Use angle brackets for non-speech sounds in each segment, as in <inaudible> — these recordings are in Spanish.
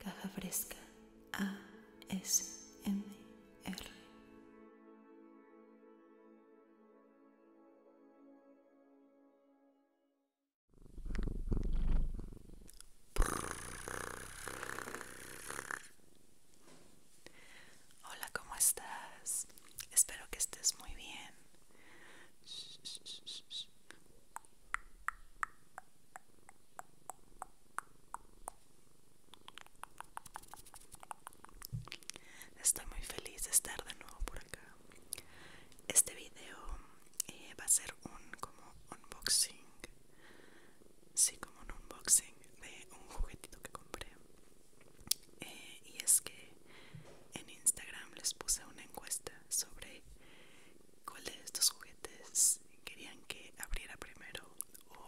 Caja Fresca ASMR. Hola, ¿cómo estás? Espero que estés muy bien. Estoy muy feliz de estar de nuevo por acá. Este video eh, va a ser un como unboxing. Sí, como un unboxing de un juguetito que compré. Eh, y es que en Instagram les puse una encuesta sobre cuál de estos juguetes querían que abriera primero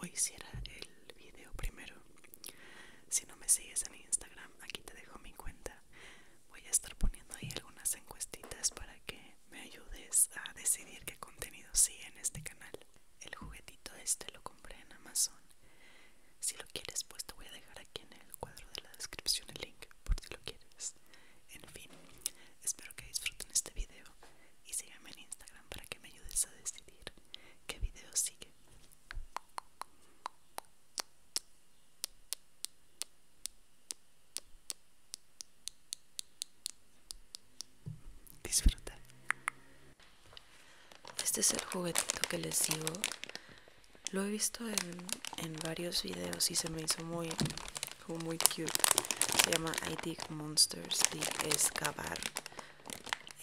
o hiciera el video primero. Si no me sigues en Instagram, aquí te dejo mi cuenta. Voy a estar poniendo ahí algunas encuestitas para que me ayudes a decidir qué contenido sigue en este canal. El juguetito este lo compré en Amazon. Si lo quieres, pues te voy a dejar aquí en el cuadro de la descripción el link por si lo quieres. En fin, espero que disfruten este video y síganme en Instagram para que me ayudes a decidir qué video sigue. Disfruta. Este es el juguetito que les digo. Lo he visto en, en varios videos y se me hizo muy, como muy cute. Se llama I Dig Monsters, Dig es cavar.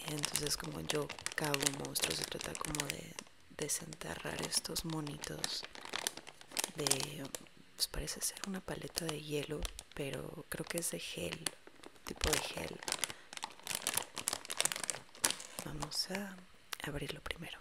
Entonces como yo cago monstruos, se trata como de desenterrar estos monitos de... Pues parece ser una paleta de hielo, pero creo que es de gel, tipo de gel. Vamos a abrirlo primero.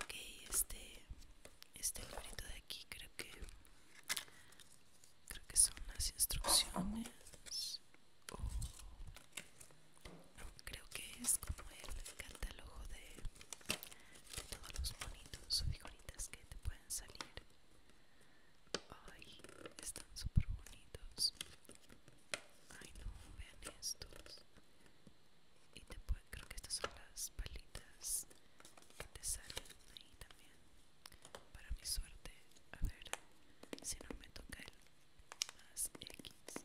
Ok, este, este bonito de aquí creo que creo que son las instrucciones creo que es como el catálogo de, de todos los bonitos o figuritas que te pueden salir. Ay, están súper bonitos. Ay no, vean estos. Y te creo que estas son las palitas que te salen ahí también. Para mi suerte, a ver si no me toca el más X.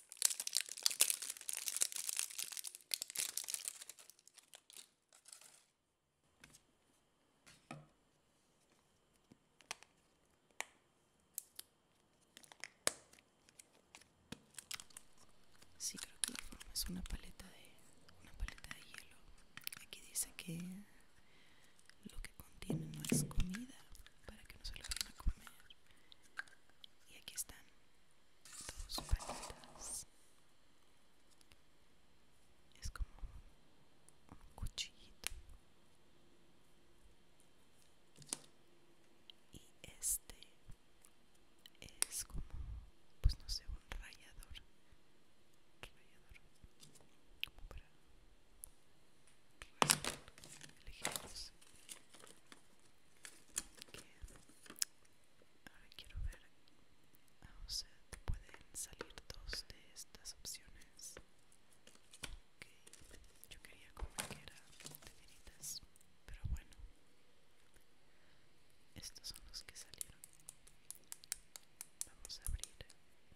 Sí, creo que la forma es una paleta de una paleta de hielo. Aquí dice que lo que contiene no es comida, para que no se lo vayan a comer. Y aquí están dos paletas. Es como un cuchillito. Y este es como, pues no sé, un rallador. Rallador. Como para rallar elegidos ahora quiero ver o sea pueden salir dos de estas opciones ok yo quería como que era de pero bueno estos son los que salieron vamos a abrir la,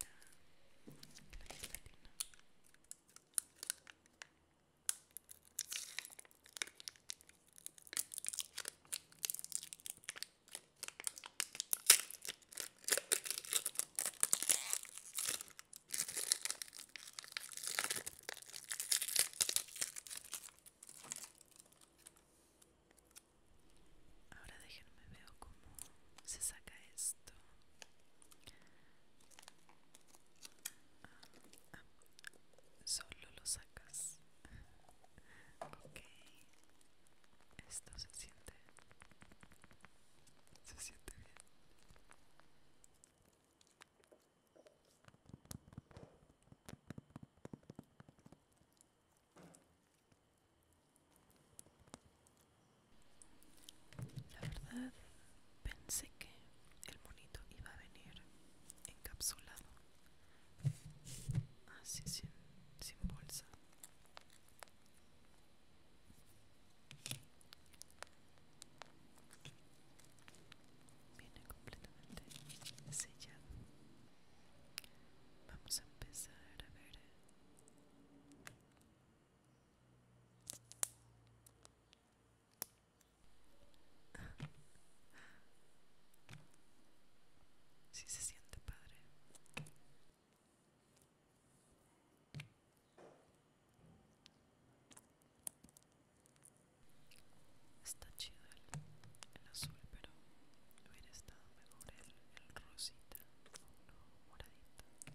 la Ahora déjenme veo cómo se saca esto solo lo sacas. Ok. Esto se siente. Se siente bien. La verdad, pensé que el monito iba a venir encapsulado, así ah, sin, sin bolsa. Viene completamente sellado. Vamos a empezar a ver Sí se siente padre. Está chido el, azul, pero hubiera estado mejor el, rosita o no, moradita.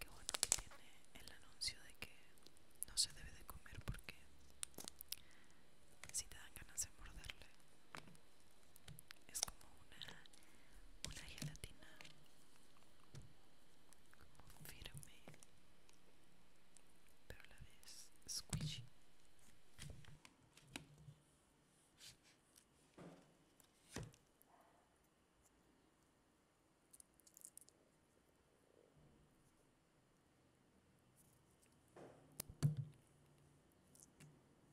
Qué bueno tiene el anuncio de que no se debe de comer porque si te dan ganas de morderle es como una, una gelatina como firme pero a la vez squishy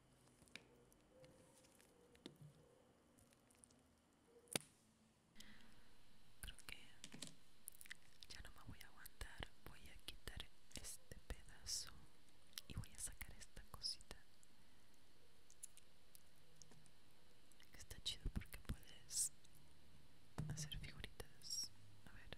Creo que ya no me voy a aguantar. Voy a quitar este pedazo y voy a sacar esta cosita. Está chido porque puedes hacer figuritas. A ver.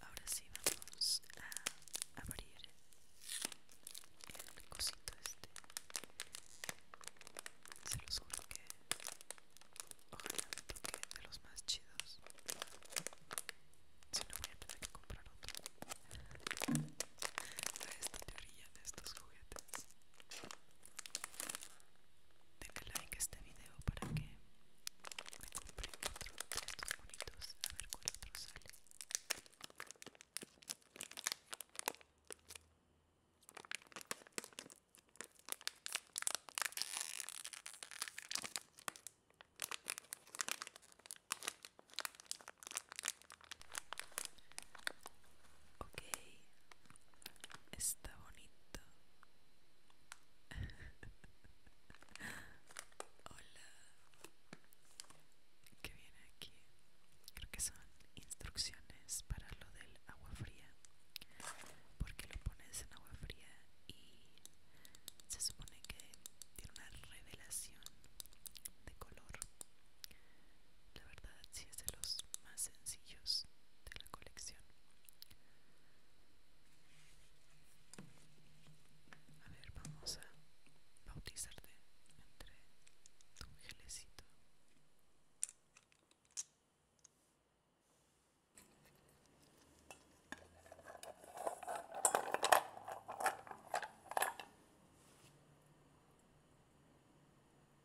Ahora sí vamos a abrir el cosito este. Se los juro que ojalá me toque de los más chidos. Si no voy a tener que comprar otro. A <laughs> esta teoría de estos juguetes. Denle like a este video para que me compren otro de estos bonitos. A ver cuál otro sale. Okay, Está bonito. <laughs> Hola. ¿Qué viene aquí? Creo que son instrucciones para lo del agua fría. Porque lo pones en agua fría y se supone que tiene una revelación de color. La verdad sí es de los más sencillos de la colección. A ver, vamos a bautizarte entre un gelecito.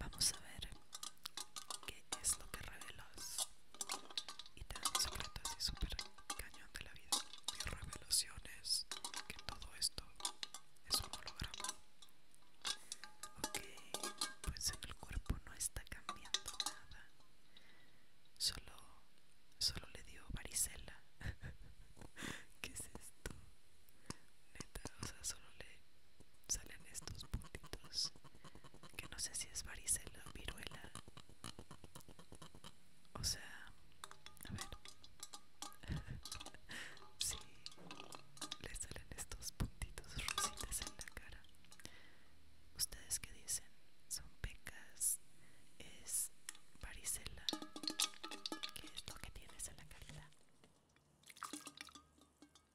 Vamos a ver es lo que revelas y te dan un secreto así súper cañón de la vida. Mi revelación es que todo esto es un holograma. Ok, pues en el cuerpo no está cambiando nada. Solo, solo le dio varicela. <laughs> ¿Qué es esto? Neta, o sea, solo le, salen estos puntitos que no sé si es varicela o viruela o sea a ver Si <laughs> le salen estos puntitos rositas en la cara ustedes que dicen son pecas es varicela que es lo que tienes en la cara?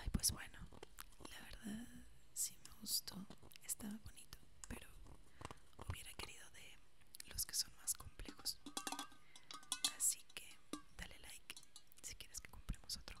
Ay, pues bueno, la verdad sí me gustó, estaba bonito, pero hubiera querido de los que son más complejos. Así que dale like si quieres que compremos otro.